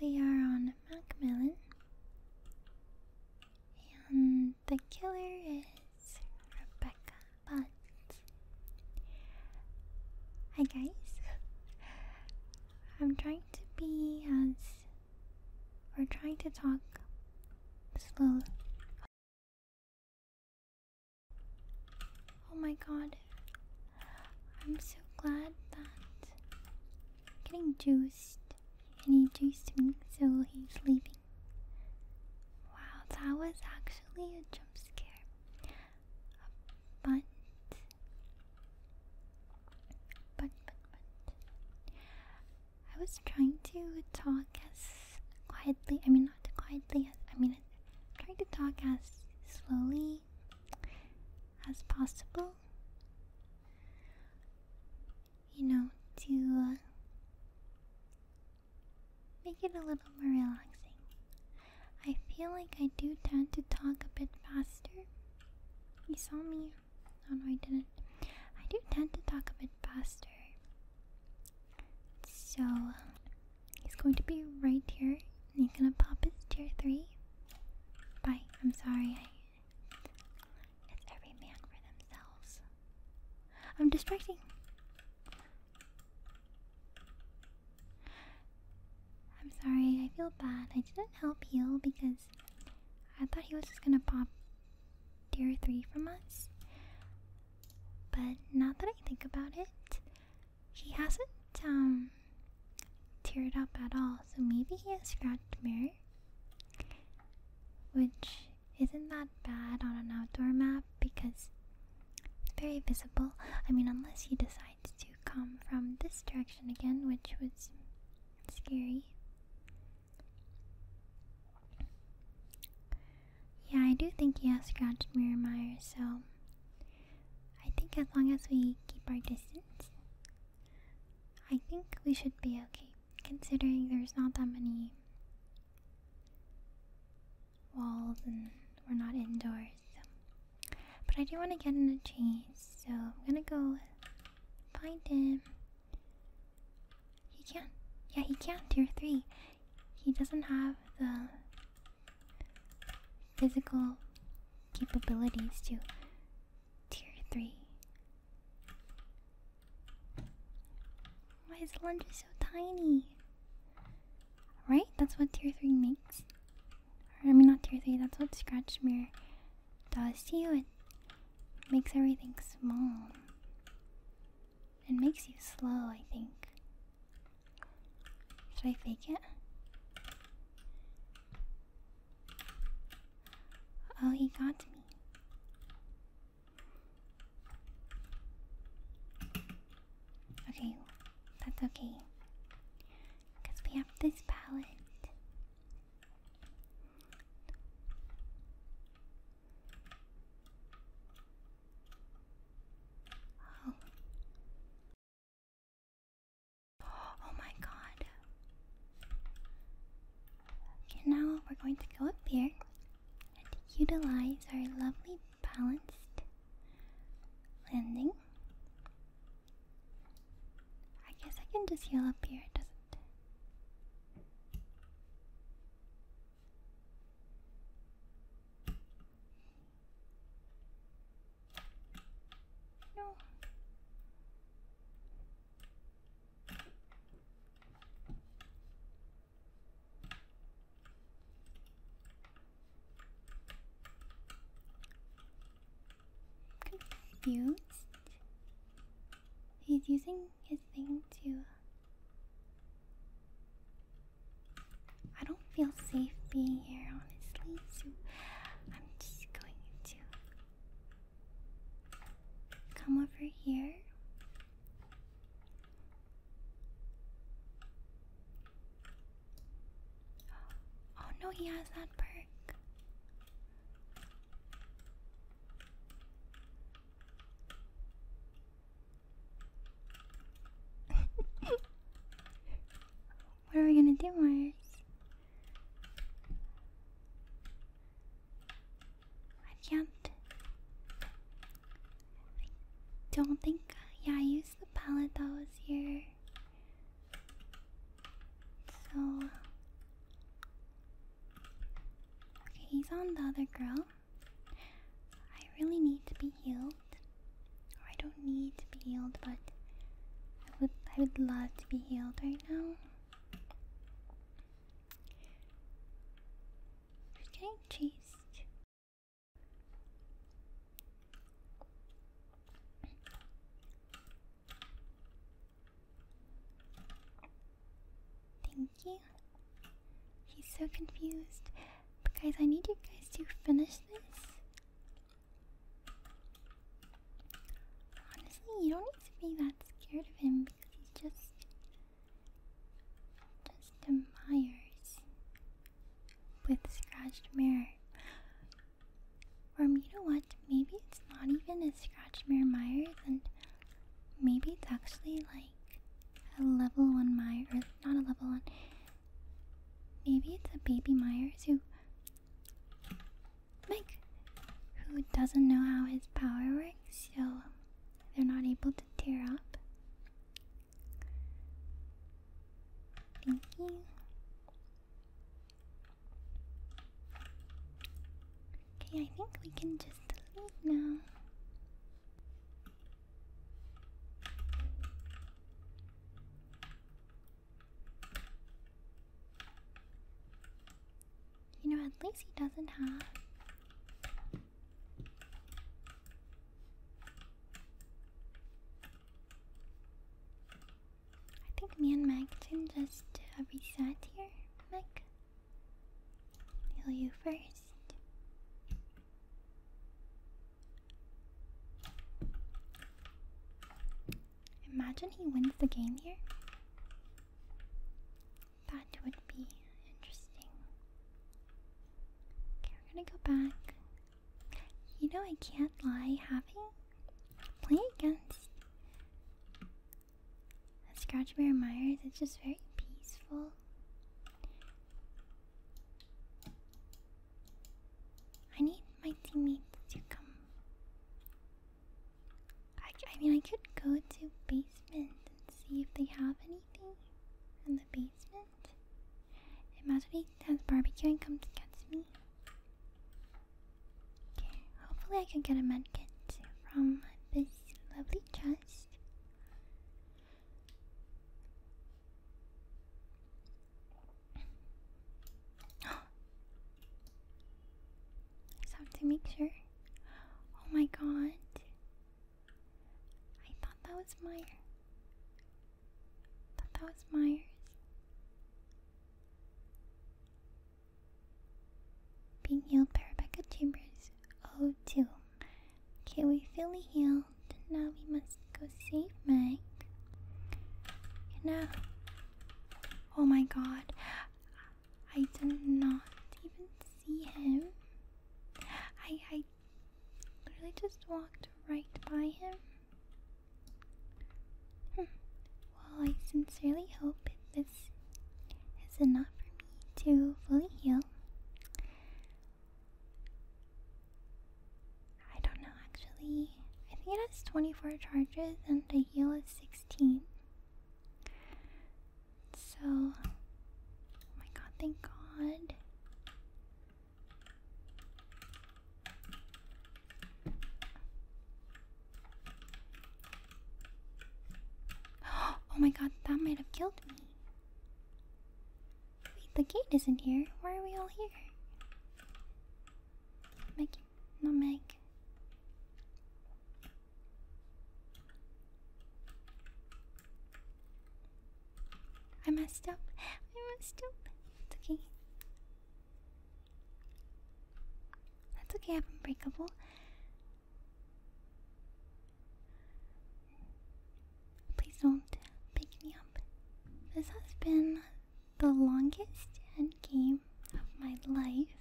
We are on Macmillan, and the killer is Rebecca Butts. Hi, guys. I'm trying to be as. We're trying to talk slow. Oh my god. I'm so glad that getting juiced and he juiced me so he's leaving. Wow, that was actually a jump scare. But but but but I was trying to talk as quietly I mean not quietly as I mean trying to talk as slowly as possible you know, to uh, make it a little more relaxing. I feel like I do tend to talk a bit faster. You saw me? No, no, I didn't. I do tend to talk a bit faster. So, he's going to be right here. And he's gonna pop his tier 3. Bye. I'm sorry. it's every man for themselves. I'm distracting. I'm sorry. I feel bad. I didn't help heal because I thought he was just gonna pop tier 3 from us. But now that I think about it, he hasn't um teared up at all, so maybe he has scratched mirror, which isn't that bad on an outdoor map because it's very visible. I mean, unless he decides to come from this direction again, which was scary. Yeah, I do think he has scratched mirror, Miramire, so I think as long as we keep our distance, I think we should be okay, considering there's not that many walls and we're not indoors. But I do want to get in a chase, so I'm gonna go find him. He can Yeah, he can't. Tier 3. He doesn't have the physical capabilities to Tier 3. Why is the laundry so tiny? Right? That's what tier 3 makes. Or, I mean, not tier 3, that's what Scratch Mirror does to you. It makes everything small. It makes you slow, I think. Should I fake it? Oh, he got me. Okay, that's okay. Because we have this palette. Oh. Oh my god. Okay, now we're going to go up here and utilize our lovely balanced landing. I guess I can just heal up here, doesn't it? No. Confused? He's using his thing to. I don't feel safe being here, honestly, so I'm just going to Come over here. Oh, no, he has that perk. what are we gonna do, Myers? I can't. don't think. Yeah, I used the palette that was here. So. Okay, he's on the other girl. I really need to be healed. Or I don't need to be healed, but I would I would love be healed right now. She's getting chased. Thank you. He's so confused. But guys, I need you guys to finish this. Honestly, you don't need to be that scared of him because he's just just admires with scratched mirror. From me to what? Maybe it's not even a scratched mirror Myers, and maybe it's actually like a level one Myers, not a level one. Maybe it's a baby Myers who Mike, who doesn't know how his power works, so they're not able to tear up. Thank you. Okay, I think we can just leave now. You know, at least he doesn't have. I think me and Mac can just uh, reset here, Mac. Heal you first. Imagine he wins the game here. That would be interesting. we're gonna go back. You know, I can't lie, having play against a Scratch Bear Myers, it's just very peaceful. I need my teammates to come I, mean, I could go to basement and see if they have anything in the basement. Imagine he has barbecue and comes and gets me. Okay, hopefully I can get a medkit from this lovely chest. I have to make sure. Oh my god. I thought that was Myers. thought that was Myers. Being healed by Rebecca Chambers. Oh, two. Okay, we finally healed. Now we must go save Meg. You uh, know. Oh my god. I did not even see him. I I literally just walked right by him. Hmm. Well, I sincerely hope this is enough for me to fully heal. I don't know actually. I think it has 24 charges and the heal is so, oh my god, thank god. Oh my god, that might have killed me. Wait, the gate isn't here. Why are we all here? Make, no make. I messed up. I messed up. It's okay. That's okay. I'm unbreakable. Please don't pick me up. This has been the longest end game of my life.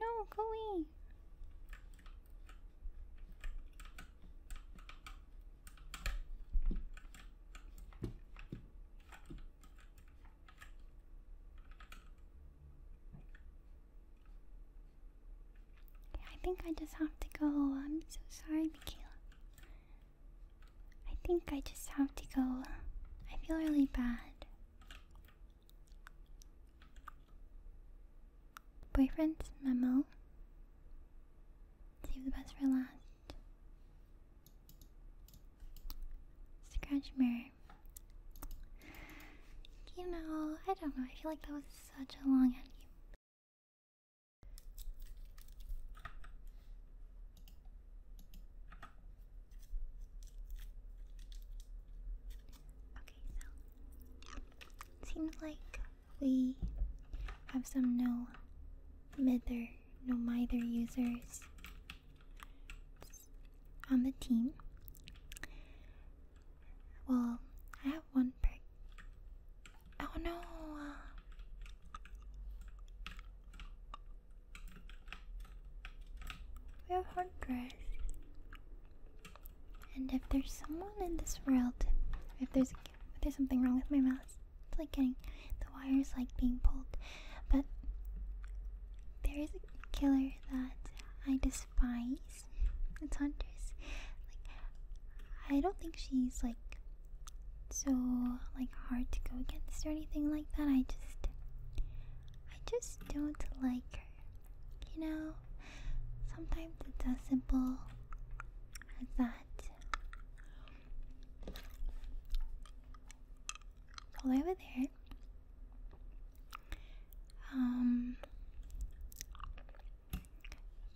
No, go away. I think I just have to go. I'm so sorry, Mikaela. I think I just have to go. I feel really bad. Boyfriend's memo. Save the best for last. Scratch mirror. You know, I don't know. I feel like that was such a long endgame so seems like we have some no mither, no mither users on the team. Well, I have one per Oh no. Uh, we have hundreds. And if there's someone in this world, if there's if there's something wrong with my mouse, it's like getting the wires like being pulled. But there is a killer that I despise. It's hunters. Like, I don't think she's like so like hard to go against or anything like that. I just, I just don't like her. You know, sometimes it's as simple as that. over there. Um,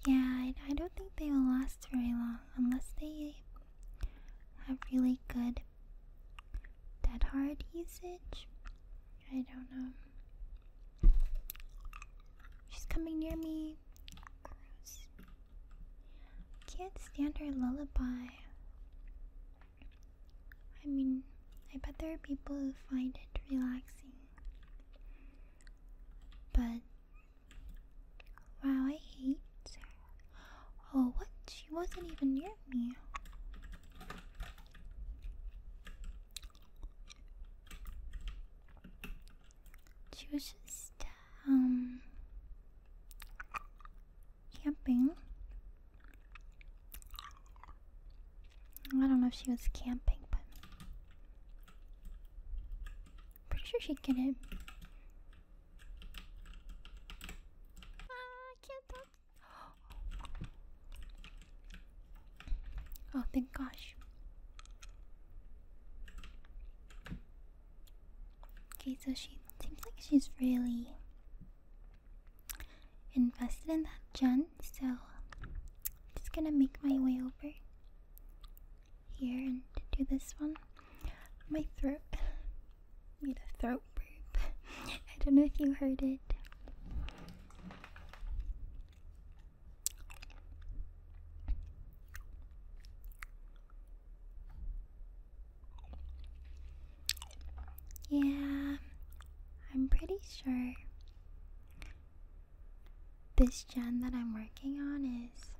yeah, I, don't think they will last very long unless they have really good dead hard usage. I don't know. She's coming near me. Can't stand her lullaby. I mean, I bet there are people who find it relaxing. But wow, I hate Oh, what? She wasn't even near me. She was just um camping. I don't know if she was camping, but Pretty sure she'd get it. Ah, can't talk. Oh, thank gosh. Okay, so she seems like she's really invested in that gen, so I'm just gonna make my way over here and do this one. My throat. made throat I don't know if you heard it. Yeah, I'm pretty sure this gen that I'm working on is,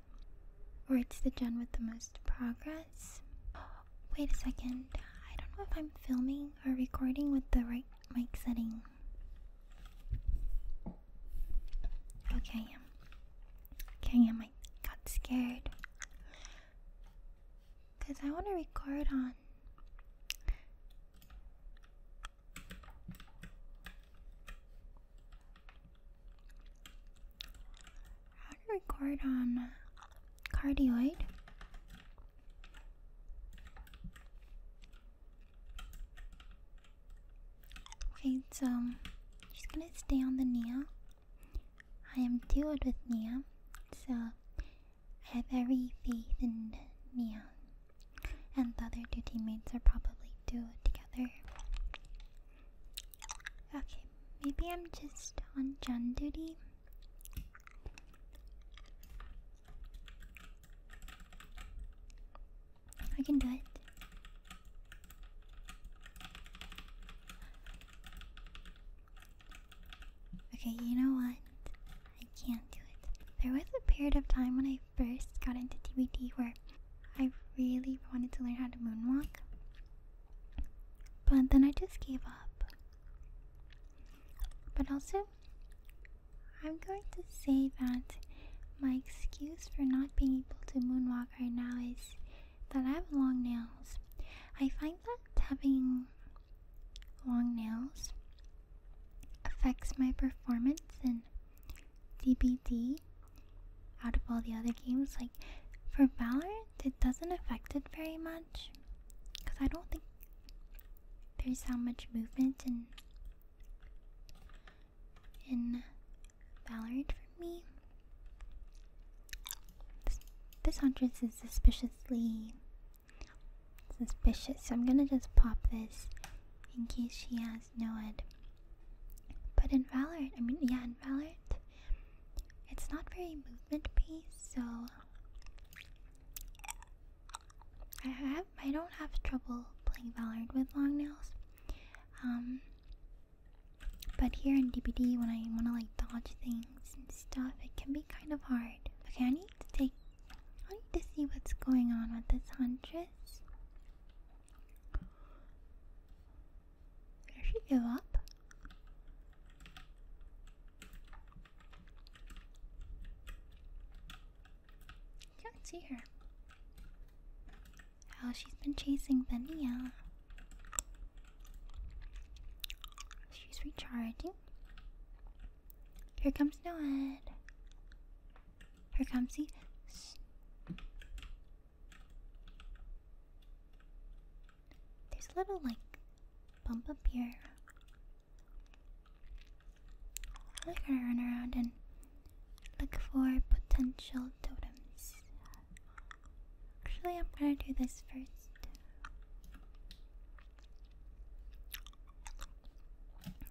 or it's the gen with the most progress. Wait a second, I don't know if I'm filming or recording with the right mic setting. Okay, I am. Okay, I am. I got scared. Because I want to record on how to record on um, cardioid? Okay, so I'm just gonna stay on the Nia. I am duoed with Nia, so I have every faith in Nia. And the other two teammates are probably it together. Okay, maybe I'm just on Jun duty. I can do it. Okay, you know what? I can't do it. There was a period of time when I first got into DVD where I really wanted to learn how to moonwalk. But then I just gave up. But also, I'm going to say that my excuse for not being able to moonwalk right now is that I have long nails. I find that having long nails affects my performance and DBD. out of all the other games. Like for Valorant, it doesn't affect it very much because I don't think there's how much movement in in Valorant for me. This, this huntress is suspiciously suspicious, so I'm gonna just pop this in case she has as But in Valorant, I mean, yeah, in Valorant, it's not very movement based, so I have I don't have trouble playing Valorant with long nails. Um, but here in DBD, when I want to like dodge things and stuff, it can be kind of hard. Okay, I need to take. I need to see what's going on with this huntress. There she go up. Can't see her. How oh, she's been chasing Benia. She's recharging. Here comes Noad. Here comes see. There's a little like bump up here. I'm gonna run around and look for potential totems. Actually, I'm gonna do this first.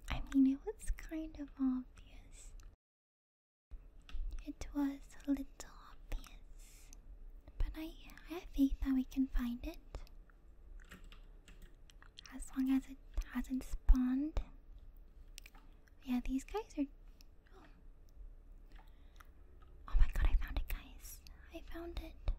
I mean, it was kind of obvious. It was a little obvious, but I, I have faith that we can find it. As long as it hasn't spawned. Yeah, these guys are. Oh. oh my god, I found it, guys. I found it.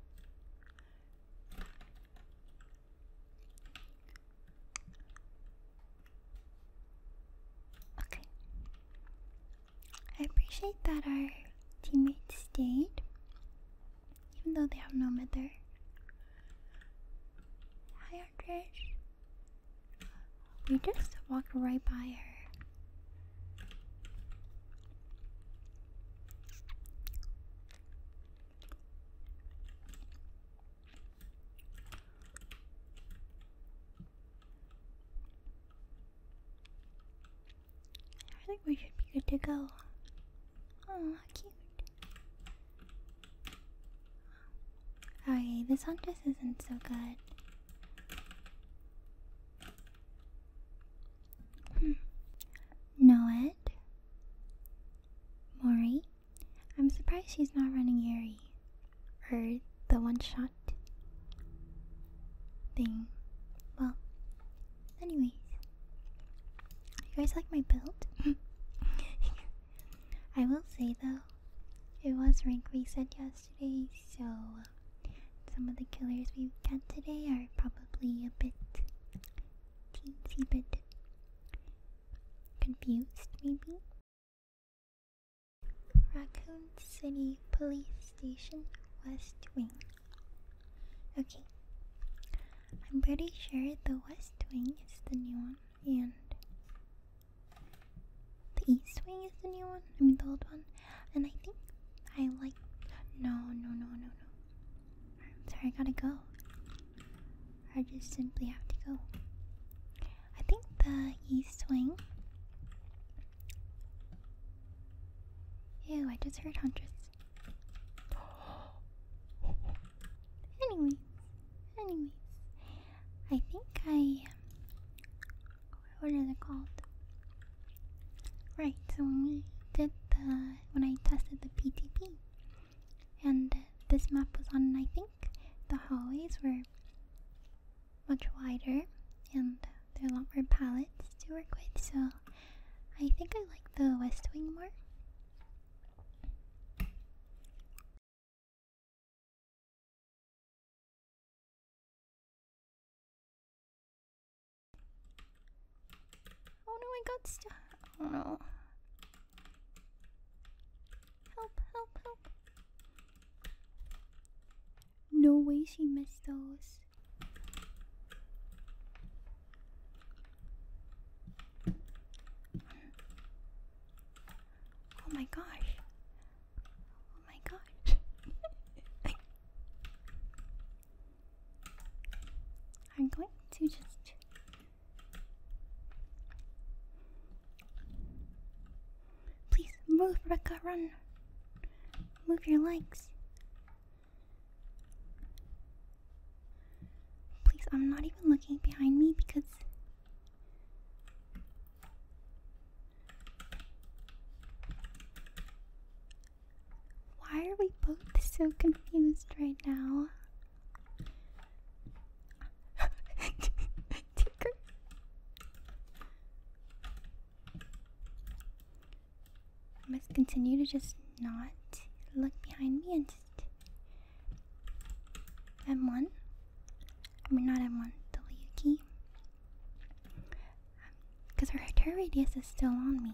Okay. I appreciate that our teammates stayed, even though they have no mother. Hi, Andrej. We just walked right by her. I think we should be good to go. Oh, cute. Okay, this huntress isn't so good. Hmm. Know it. Mori. I'm surprised she's not running Yuri. Or the one shot thing. Well, anyways. You guys like my build? I will say though, it was rank reset yesterday, so some of the killers we got today are probably a bit teensy bit confused maybe Raccoon City Police Station, West Wing. Okay. I'm pretty sure the West Wing is the new one, and the East Wing is the new one. I mean, the old one. And I think I like. No, no, no, no, no. i sorry, I gotta go. I just simply have to go. I think the east wing. Ew, I just heard hunters. anyways, anyway. I think I. What are they called? Right, so when we did the. when I tested the PTP, and this map was on, I think the hallways were much wider and there are a lot more palettes to work with, so I think I like the West Wing more. Oh no, I got stuck. Oh no. Help, help, help. No way she missed those. Oh my gosh. Oh my gosh. I'm going to just Please move, Rekka, run. Move your legs. Please, I'm not even looking behind me because. Why are we both so confused right now? Tinker. I must continue to just not look behind me and just M1. I mean, not M1, W key. Because um, her terror radius is still on me.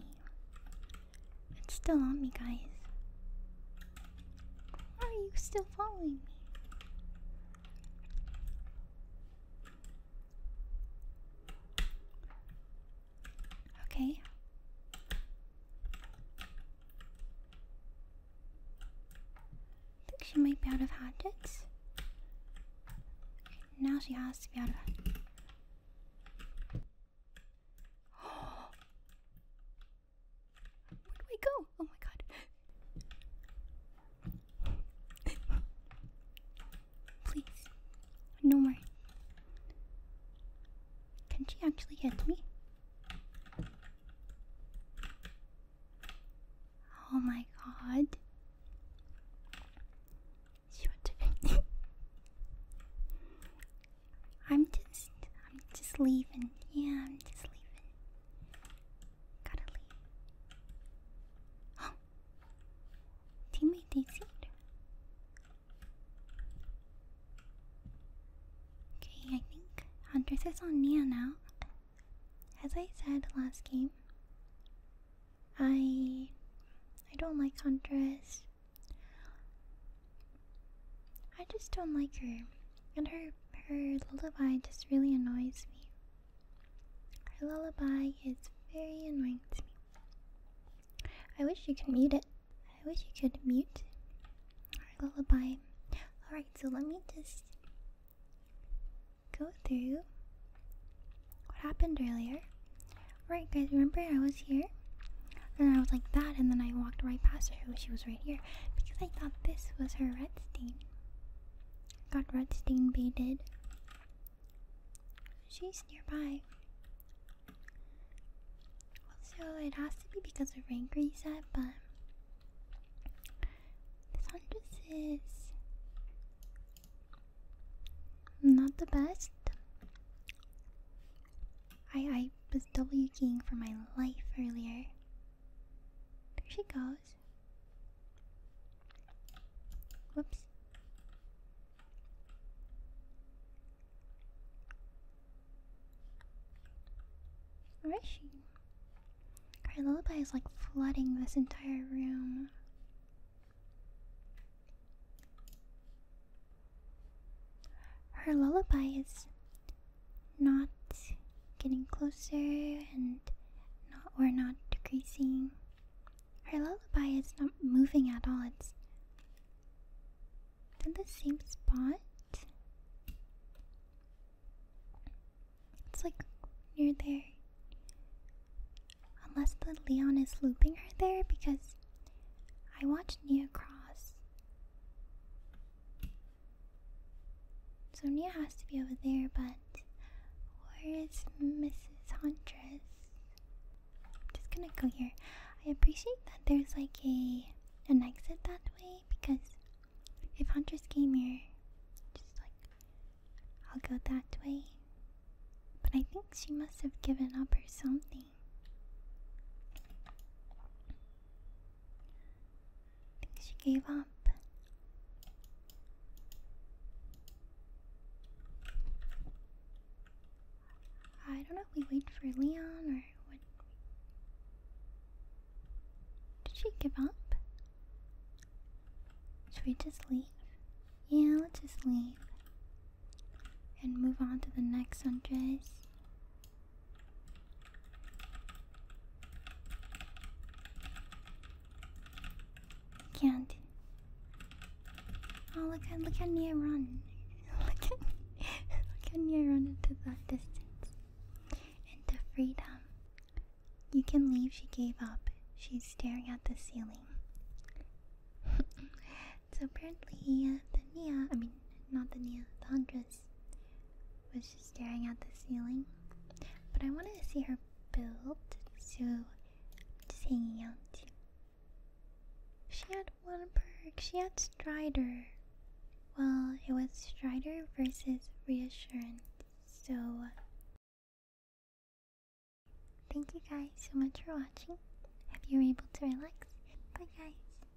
It's still on me, guys. Why are you still following me? Okay. I think she might be out of hatchets. now she has to be out of Where do I go? Oh my god. Please. No more. Can she actually hit me? Oh my god. She went to I'm just I'm just leaving. Yeah, I'm just leaving. Gotta leave. Oh! Teammate dc Okay, I think Huntress is on Nia now. As I said last game, I I don't like Huntress. I just don't like her, and her her lullaby just really annoys me. Her lullaby is very annoying to me. I wish you could mute it. I wish you could mute her lullaby. Alright, so let me just go through what happened earlier. Alright, guys, remember I was here? And I was like that, and then I walked right past her. Oh, she was right here because I thought this was her redstone. Got red stain baited. She's nearby. so it has to be because of rank said, but this Huntress is not the best. I I was W keying for my life earlier. There she goes. Whoops. Where is she? Her lullaby is like flooding this entire room. Her lullaby is not getting closer and not or not decreasing. Her lullaby is not moving at all. It's in the same spot. It's like you're there. Unless the Leon is looping her there because I watched Nia cross. So Nia has to be over there, but where is Mrs. Huntress? I'm just gonna go here. I appreciate that there's like a an exit that way because if Huntress came here, just like I'll go that way. But I think she must have given up or something. I think she gave up. I don't know we wait for Leon or what. Did she give up? Should we just leave? Yeah, let's just leave. And move on to the next Sunrise. Can't. Oh, look at look at me run. look at look at me run into that distance, into freedom. You can leave. She gave up. She's staring at the ceiling. so apparently, uh, the Nia, I mean, not the Nia, the Hundred, was But staring at the ceiling. But I wanted to see her build, so just hanging out. She had one perk. She had Strider. Well, it was Strider versus Reassurance. So, thank you guys so much for watching. Hope you were able to relax. Bye, guys.